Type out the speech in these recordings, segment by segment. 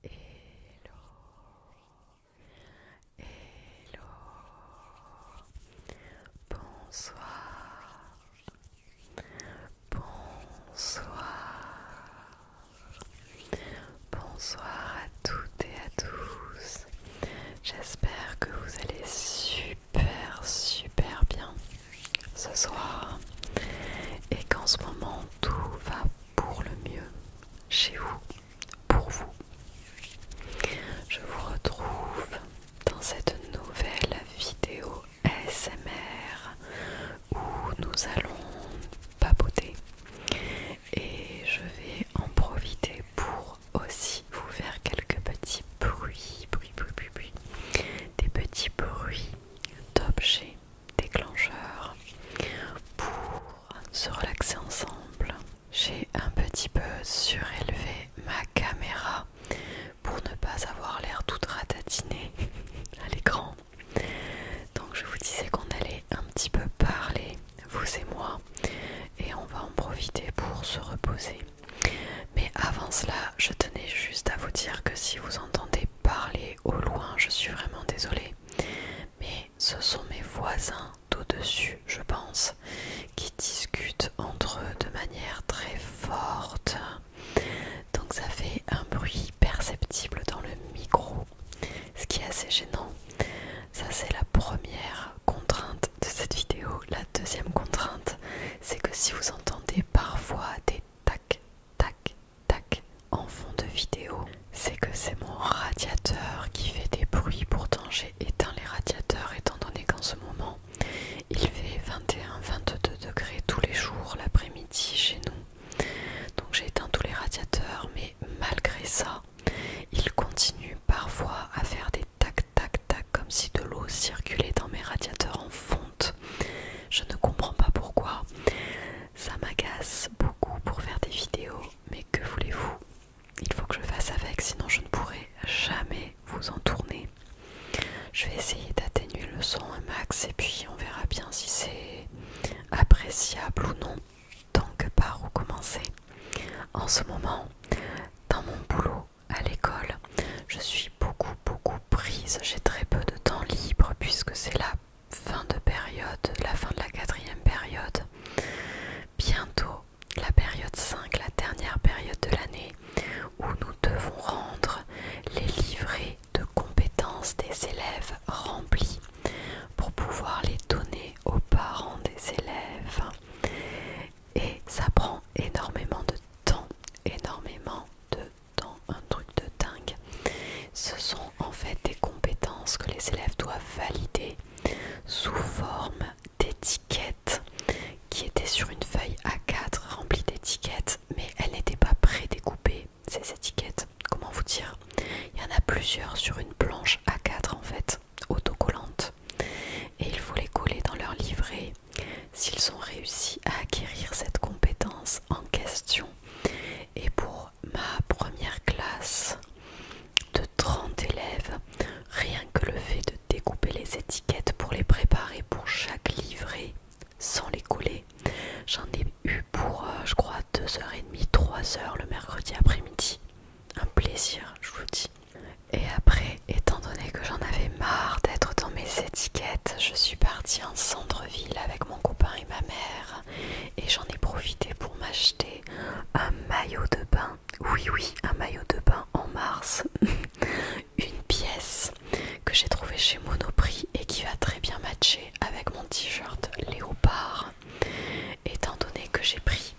Hello, hello, bonsoir, bonsoir, Bonsoir à toutes et à tous. J'espère que vous allez super super bien ce soir et qu'en ce moment tout va pour le mieux chez vous, pour vous. Je vous retrouve dans cette nouvelle vidéo SMR où nous allons papoter et je vais en profiter pour aussi vous faire quelques petits bruits, bruits, des petits bruits d'objets déclencheurs pour se relaxer ensemble. J'ai un petit peu surélevé ma caméra pour ne pas avoir l'air tout ratatiné à l'écran. Donc je vous disais qu'on allait un petit peu parler vous et moi, et on va en profiter pour se reposer. Mais avant cela, je tenais juste à vous dire que si vous entendez parler au loin, je suis vraiment désolée. Mais ce sont mes voisins d'au-dessus, je pense, qui discutent entre eux de manière très forte. Donc ça fait un bruit perceptible dans le micro ce qui est assez gênant. Ça c'est la première contrainte de cette vidéo. La deuxième contrainte, c'est que si vous entendez parfois des tac, tac, tac en fond de vidéo, c'est que c'est mon radiateur qui fait des bruits. Pourtant j'ai éteint les radiateurs étant donné qu'en ce moment il fait 21-22 degrés tous les jours l'après-midi chez nous. Donc j'ai éteint tous les radiateurs, mais malgré ça, il continue parfois à faire des tac tac tac comme si de l'eau circulait dans mes radiateurs en fonte. Je ne comprends pas pourquoi. Ça m'agace beaucoup pour faire des vidéos, mais que voulez-vous Il faut que je fasse avec, sinon je ne pourrai jamais vous en tourner. Je vais essayer d'atténuer le son un max et puis on verra bien si c'est appréciable ou non donc par où commencer En ce moment, dans mon boulot, à l'école, je suis beaucoup beaucoup prise, j'ai très peu de temps libre puisque c'est la fin de période, la fin de la quatrième période. Bientôt, la période 5, la dernière période de l'année, où nous devons rendre les livrets de compétences des élèves remplis pour pouvoir les donner aux parents des élèves. Et ça prend énormément de temps, énormément de temps, un truc de dingue. Ce sont en fait des compétences que les élèves doivent valider sous forme d'étiquettes qui étaient sur une feuille A4 remplie d'étiquettes, mais elles n'étaient pas prédécoupées ces étiquettes, comment vous dire Il y en a plusieurs sur une planche A4 en fait, autocollante. Et il faut les coller dans leur livret. S'ils ont réussi à acquérir cette compétence en question. Et pour ma première classe de 30 élèves, rien que le fait de découper les étiquettes pour les préparer pour chaque livret sans les coller, j'en ai eu pour, euh, je crois, 2h30, 3h le mercredi après-midi. Un plaisir, je vous dis. Et après, étant donné que j'en avais marre d'être dans mes étiquettes, je suis partie en centre-ville avec mon copain et ma mère. Et j'en ai profité pour m'acheter un maillot de bain. Oui, oui, un maillot de bain en mars. Une pièce que j'ai trouvée chez Monoprix et qui va très bien matcher avec mon t-shirt léopard étant donné que j'ai pris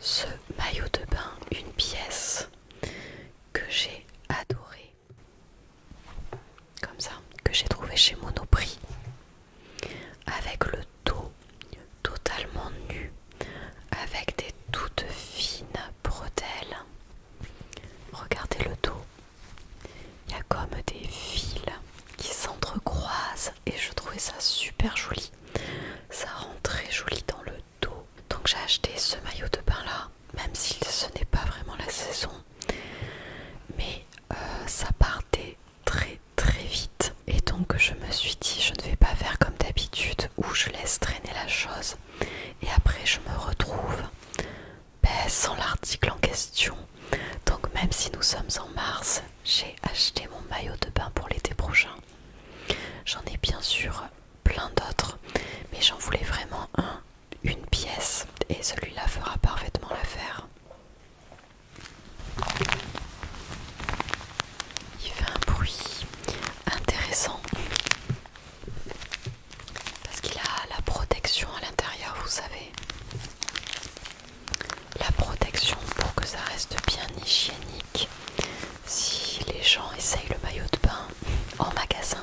ce maillot de bain, une pièce que j'ai adoré comme ça, que j'ai trouvé chez Monoprix, avec le dos totalement nu, avec des toutes fines bretelles. Regardez le dos, il y a comme des fils qui s'entrecroisent et je trouvais ça super joli. Ça rend très joli dans le dos. Donc j'ai acheté ce maillot de bain là, même si ce n'est pas vraiment la saison. Mais euh, ça partait très très vite. Et donc je me suis dit je ne vais pas faire comme d'habitude où je laisse traîner la chose et après je me retrouve sans l'article en question. Donc même si nous sommes en mars, j'ai acheté mon maillot de bain pour l'été prochain. J'en ai bien sûr plein d'autres, mais j'en voulais vraiment un, une pièce, et celui-là fera parfaitement l'affaire. Il fait un bruit intéressant parce qu'il a la protection à l'intérieur, vous savez la protection pour que ça reste bien hygiénique si les gens essayent le maillot de bain en magasin.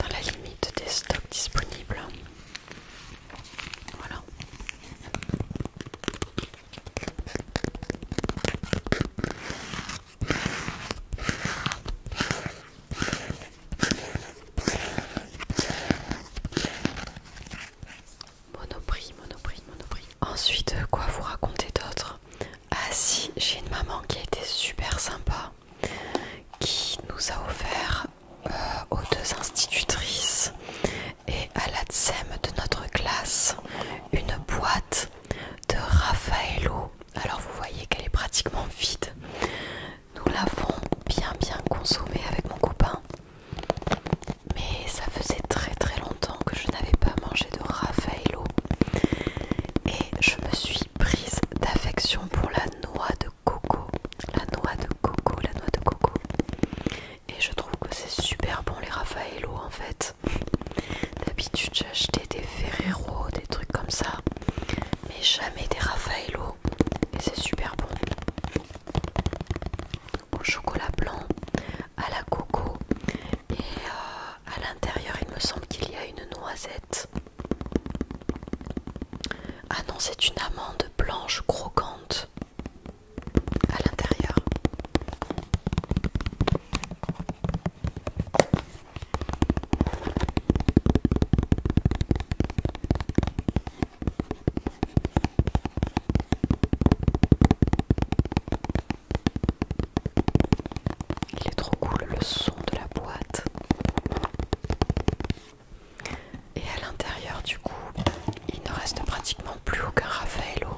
dans la limite des stocks disponibles. Voilà. Monoprix, monoprix, monoprix. Ensuite, quoi vous raconter d'autre Ah si, j'ai une maman qui a été super sympa qui nous a offert euh, aux deux institutrices et à la l'ADSEM de notre classe une boîte de Raffaello. Alors vous voyez qu'elle est pratiquement vide. Nous l'avons bien bien consommée avec mon copain. Mais ça faisait très très longtemps que je n'avais pas mangé de Raffaello. Et je me suis prise d'affection pour la noix de coco, la noix de coco, la noix de coco. Et je trouve que c'est super bon les Raffaello en fait. D'habitude j'achetais des Ferrero, des trucs comme ça, mais jamais des Raffaello. Et c'est super bon. Au chocolat blanc, à la coco. Et euh, à l'intérieur il me semble qu'il y a une noisette. Ah non, c'est une amande blanche croquante à l'intérieur. Il est trop cool le son de la boîte. Et à l'intérieur du coup, il ne reste pratiquement plus aucun Raffaello.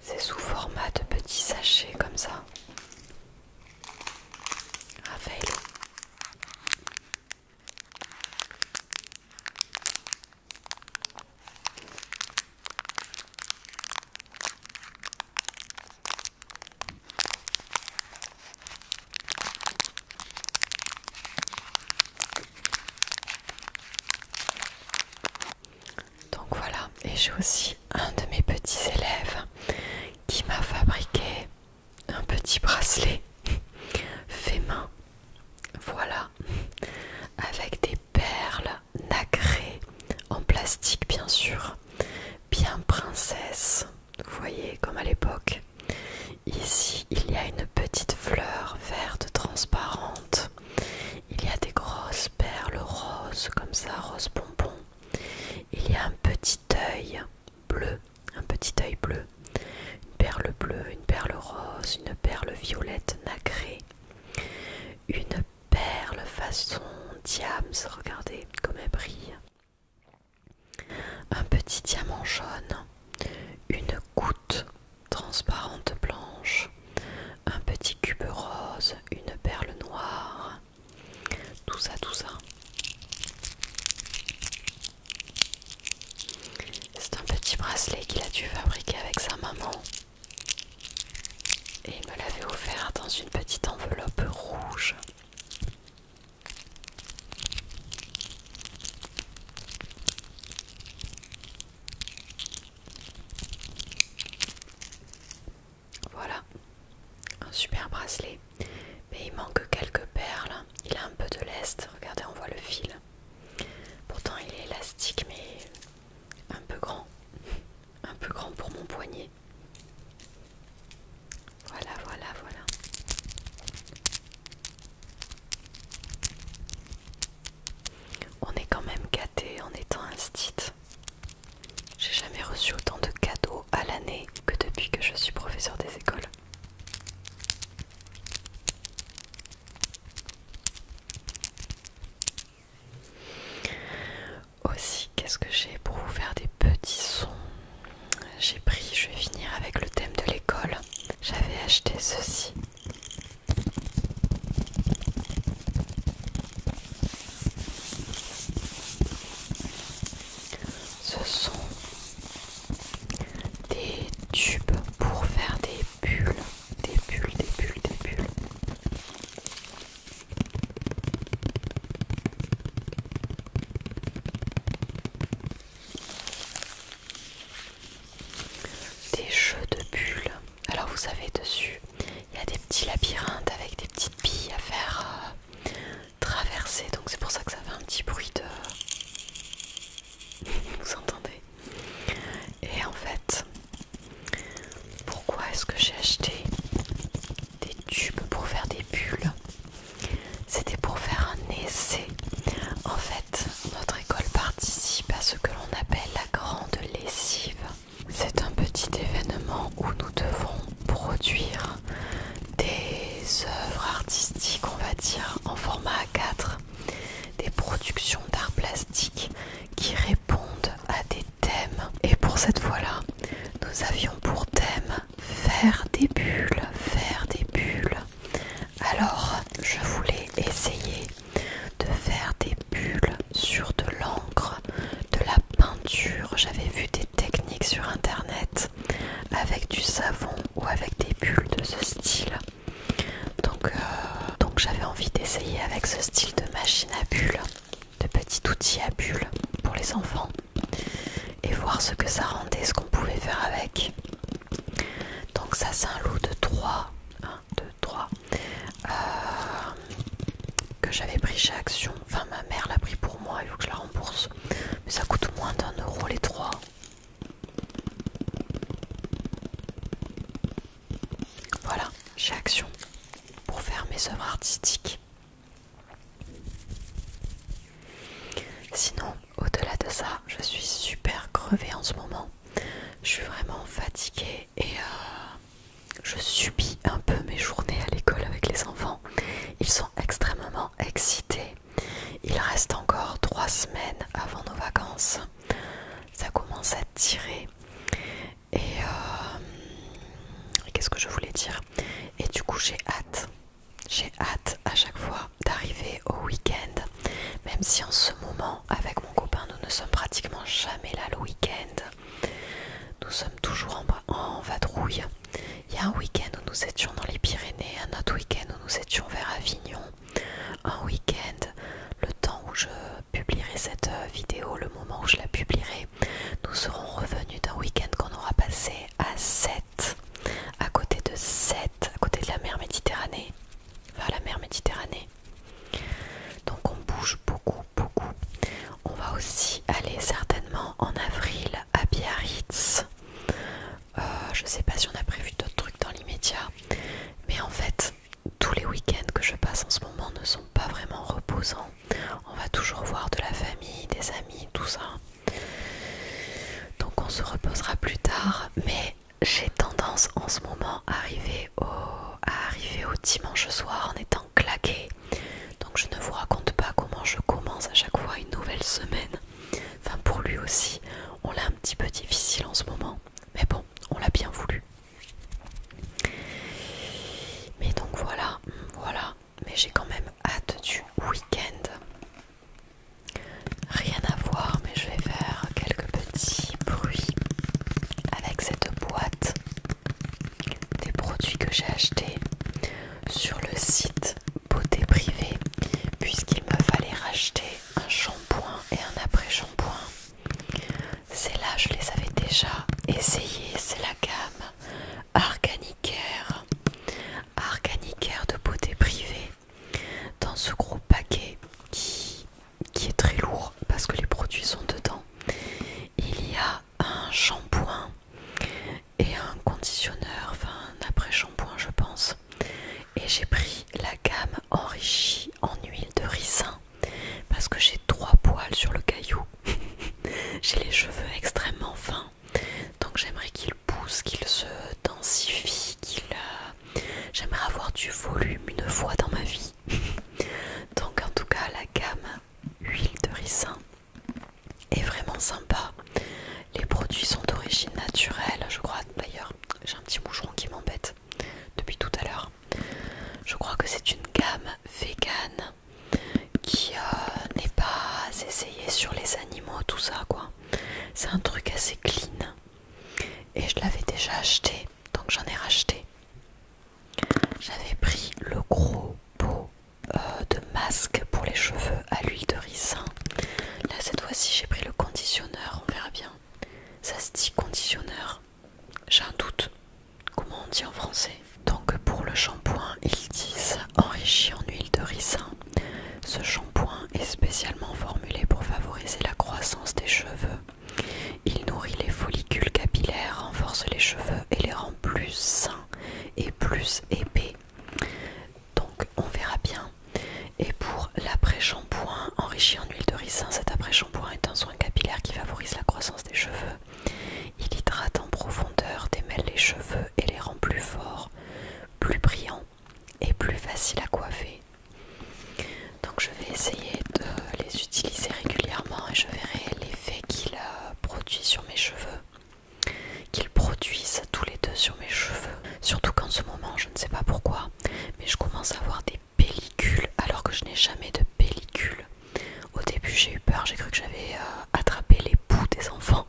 C'est sous format de petits sachets comme ça. Raffaello. Donc voilà, et j'ai aussi un de mes petits élèves qui m'a fabriqué un petit bracelet fait main. Voilà, avec des perles nacrées en plastique bien sûr bien princesse, vous voyez comme à l'époque. Ici, il y a une petite fleur verte transparente. Il y a des grosses perles roses comme ça, rose bonbon. Il y a un petit œil bleu, un petit œil bleu, une perle bleue, une perle rose, une perle violette nacrée, une perles façon diams, regardez comme elle brille. Un petit diamant jaune, une goutte transparente blanche, un petit cube rose, une perle noire, tout ça, tout ça. C'est un petit bracelet qu'il a dû fabriquer avec sa maman et il me l'avait offert dans une petite enveloppe rouge. Voilà, un super bracelet, mais il manque quelques perles. Il a un peu de lest, regardez, on voit le fil. Pourtant, il est élastique, mais un peu grand un peu grand pour mon poignet. Voilà, voilà, voilà. On est quand même gâté en étant un J'ai jamais reçu autant de cadeaux à l'année que depuis que je suis professeur des écoles. Aussi, qu'est-ce que j'ai pour vous faire des petits sons J'ai pris, je vais finir avec le thème de l'école. J'avais acheté ceci. Ce sont des tubes pour faire des bulles, des bulles, des bulles, des bulles. Des jeux de bulles. Alors vous savez dessus, il y a des petits labyrinthes avec des petites billes à faire euh, traverser. Donc c'est pour ça que ça fait un petit bruit de... vous entendez Et en fait, pourquoi est-ce que j'ai acheté des tubes pour faire des bulles C'était pour faire un essai. En fait, notre école participe à ce que l'on appelle la grande lessive. C'est un petit événement où nous devons produire des œuvres artistiques, on va dire, en format A4, des productions d'art plastique qui répondent à des thèmes. Et pour cette fois-là, nous avions pour thème faire des bulles, faire des bulles. Alors, je voulais essayer de faire des bulles sur de l'encre, de la peinture. J'avais vu des techniques sur internet avec du savon ou avec des bulles de ce style. donc euh, j'avais envie d'essayer avec ce style de machine à bulles de petits outils à bulles pour les enfants et voir ce que ça rendait, ce qu'on pouvait faire avec. Donc ça c'est un lot de 3, 1, 2, 3, que j'avais pris chez Action, enfin ma mère l'a pris pour moi, il faut que je la rembourse, mais ça coûte moins d'un euro les 3. Voilà, j'ai action pour faire mes œuvres artistiques. Sinon, au-delà de ça, je suis super crevée en ce moment. Je suis vraiment fatiguée et euh, je subis un peu mes journées à l'école avec les enfants. Ils sont extrêmement excités. Il reste encore 3 semaines avant nos vacances. Ça commence à tirer. Euh, et, qu'est-ce que je voulais dire Et du coup, j'ai hâte, j'ai hâte à chaque fois d'arriver au week-end, même si en ce moment, avec mon copain, nous ne sommes pratiquement jamais là le week-end. Nous sommes toujours en, en vadrouille. Il y a un week-end où nous étions dans les Pyrénées, un autre week-end où nous étions vers Avignon, un week-end, le temps où je publierai cette euh, vidéo, le moment où je la publierai, nous serons revenus d'un week-end qu'on aura passé à 7, à côté de 7, à côté de la mer Méditerranée, vers la mer Méditerranée. Donc on bouge beaucoup, beaucoup. On va aussi aller certainement en avril à Biarritz. Euh, je sais pas si on a prévu d'autres trucs dans l'immédiat, mais en fait, tous les week-ends que je passe en ce moment ne sont pas vraiment reposants. On va toujours voir de la famille, des amis, tout ça. Donc on se reposera plus tard. Mais j'ai tendance en ce moment à arriver au, dimanche soir en étant claqué. Donc je ne vous raconte pas comment je commence à chaque fois une nouvelle semaine. Enfin pour lui aussi, on l'a un petit peu difficile en ce moment. Mais bon, on l'a bien voulu. Mais donc voilà, voilà. Mais j'ai quand même hâte du week-end. Rien à voir, mais je vais faire quelques petits bruits avec cette boîte des produits que j'ai achetés sur le site Beauté Privée, puisqu'il me fallait racheter un shampoing et un après-shampoing c'est là je les avais déjà essayées. C'est la gamme Organicaire Organicaire de beauté privée. Dans ce gros paquet qui, qui est très lourd parce que les produits sont dedans. Il y a un shampoing et un conditionneur, enfin un après-shampoing je pense. Et j'ai pris la gamme enrichie en huile de ricin parce que j'ai trois poils sur le caillou. j'ai les cheveux extrêmement fins, donc j'aimerais qu'ils poussent, qu'ils se densifient, qu'ils. Euh, j'aimerais avoir du volume une fois dans ma vie. donc en tout cas, la gamme huile de ricin est vraiment sympa. Les produits sont d'origine naturelle, je crois d'ailleurs. J'ai un petit moucheron qui m'embête depuis tout à l'heure. Je crois que c'est une gamme vegan qui euh, n'est pas essayée sur les animaux, tout ça quoi. C'est un truc assez clean. Et je l'avais déjà acheté, donc j'en ai racheté. J'avais pris le gros pot euh, de masque pour les cheveux à l'huile de ricin. Là cette fois-ci j'ai pris le conditionneur, on verra bien. Ça se dit conditionneur. J'ai un doute. Comment on dit en français Donc pour le shampoing, ils disent enrichi en huile de ricin. Ce shampoing est spécialement formulé pour favoriser la croissance des cheveux. Il nourrit les follicules capillaires, renforce les cheveux et les rend plus sains et plus épais. Donc on verra bien. Et pour l'après-shampoing enrichi en huile de ricin, cet après-shampoing est un capillaire qui favorise la croissance des cheveux. Il hydrate en profondeur, démêle les cheveux et les rend plus forts, plus brillants et plus faciles à coiffer. Donc je vais essayer de les utiliser régulièrement et je verrai l'effet qu'il produit sur mes cheveux. Qu'ils produisent tous les deux sur mes cheveux. Surtout qu'en ce moment, je ne sais pas pourquoi, mais je commence à avoir des pellicule alors que je n'ai jamais de pellicule. Au début j'ai eu peur, j'ai cru que j'avais euh, attrapé les poux des enfants.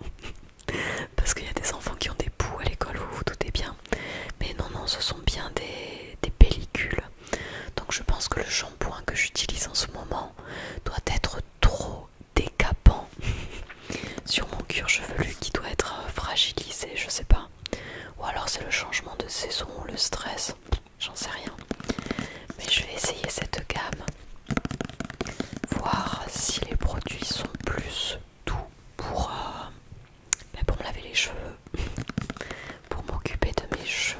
Parce qu'il y a des enfants qui ont des poux à l'école, vous vous doutez bien. Mais non, non, ce sont bien des, des pellicules. Donc je pense que le shampoing que j'utilise en ce moment doit être trop décapant sur mon cuir chevelu qui doit être euh, fragilisé, je sais pas. Ou alors c'est le changement de saison, le stress j'en sais rien. Mais je vais essayer cette gamme, voir si les produits sont plus doux pour, euh, bah, me laver les cheveux, pour m'occuper de mes cheveux.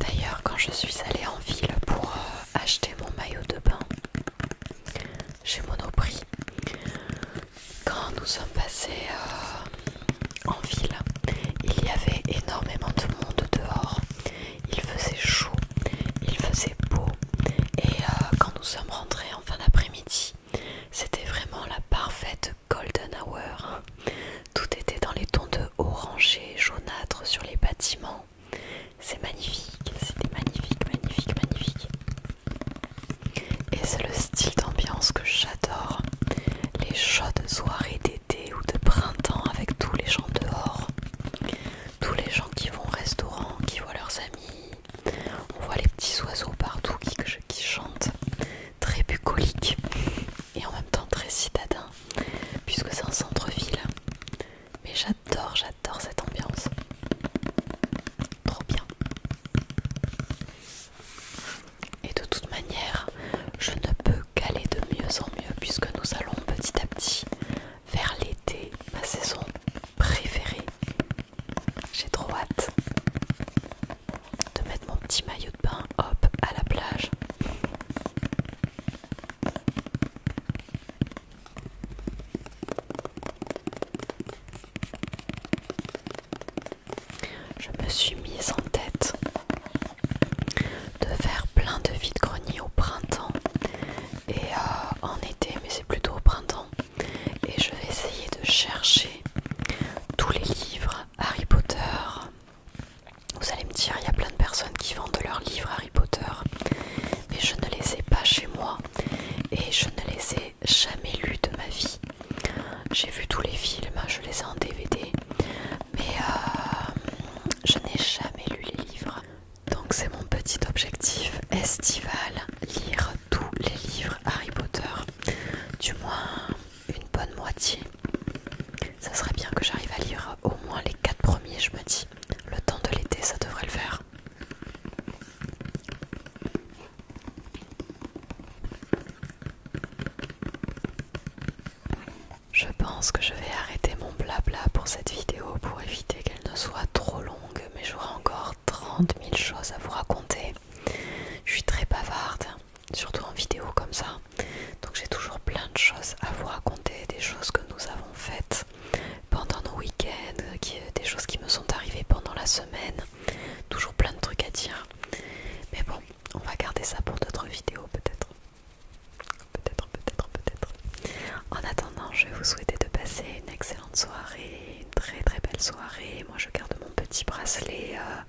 D'ailleurs, quand je suis allée en ville pour euh, acheter mon maillot de bain chez Monoprix, quand nous sommes passés euh, en ville, il y avait énormément de monde dehors il faisait chaud, il faisait beau et euh, quand nous sommes rentrés en fin d'après-midi, c'était vraiment la parfaite golden hour. Tout était dans les tons de orangé, jaunâtre sur les bâtiments. C'est magnifique, c'était magnifique, magnifique, magnifique. Et c'est le style d'ambiance que j'adore. Les chaudes soirées d'été ou de printemps avec tous les gens dehors tous les gens qui vont au restaurant, qui voient leurs amis. On voit les petits oiseaux partout qui, chantent, très bucolique et en même temps très citadin, puisque c'est un centre-ville. Mais j'adore, j'adore cette ambiance. Trop bien. Et de toute manière, je ne peux qu'aller de mieux en mieux puisque nous allons petit à petit vers l'été, ma saison préférée. J'ai trop hâte de mettre mon petit maillot de bain, hop, à la plage. Je me suis mise en tête de faire plein de vides greniers au printemps et euh, en été mais c'est plutôt au printemps et je vais essayer de chercher tous les livres Harry Potter vous allez me dire il y a plein de personnes qui vendent leurs livres Harry Potter mais je ne les ai pas chez moi et je ne les ai jamais lus de ma vie j'ai vu tous les films je les ai en DVD mais euh, je n'ai jamais lu les livres donc c'est mon petit objectif estival, lire tous les livres Harry Potter, du moins une bonne moitié. Ça serait bien que j'arrive à lire au moins les quatre premiers, je me dis. Le temps de l'été, ça devrait le faire. Je pense que je vais arrêter mon blabla pour cette vidéo pour qu'elle ne soit trop longue, mais j'aurai encore 30 000 choses à vous raconter. Je suis très bavarde, surtout en vidéo comme ça. Donc j'ai toujours plein de choses à vous raconter, des choses que nous avons faites pendant nos week-ends, euh, des choses qui me sont arrivées pendant la semaine. Toujours plein de trucs à dire. Mais bon, on va garder ça pour d'autres vidéos peut-être. Peut-être, peut-être, peut-être. En attendant, je vais vous souhaiter de passer une excellente soirée, une très très belle soirée. Moi, je garde mon petit bracelet euh,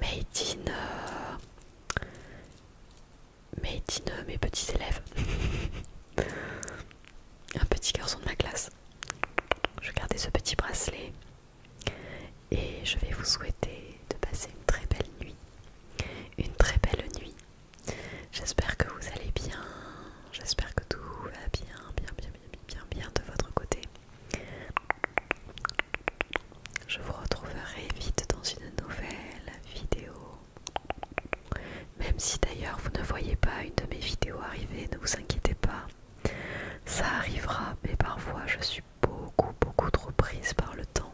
made, in, euh, made in, euh, mes petits élèves. Un petit garçon de ma classe. Je garder ce petit bracelet et je vais vous souhaiter de passer une très belle nuit. Une très belle nuit J'espère que vous allez bien, j'espère que tout va bien, bien, bien, bien, bien, bien de votre côté. Je vous retrouverai vite dans une nouvelle vidéo. Même si d'ailleurs vous ne voyez pas une de mes vidéos arriver, ne vous inquiétez pas. Ça arrivera, mais parfois je suis beaucoup, beaucoup trop prise par le temps.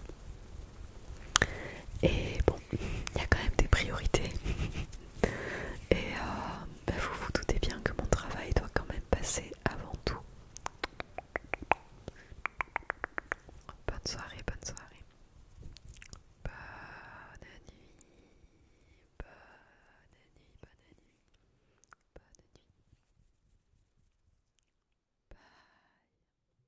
Et bon, il y a quand même des priorités. Et euh, bah, vous vous doutez bien que mon travail doit quand même passer avant tout. Bonne soirée, bonne soirée. Bonne nuit. Bonne nuit, bonne nuit. Bonne nuit.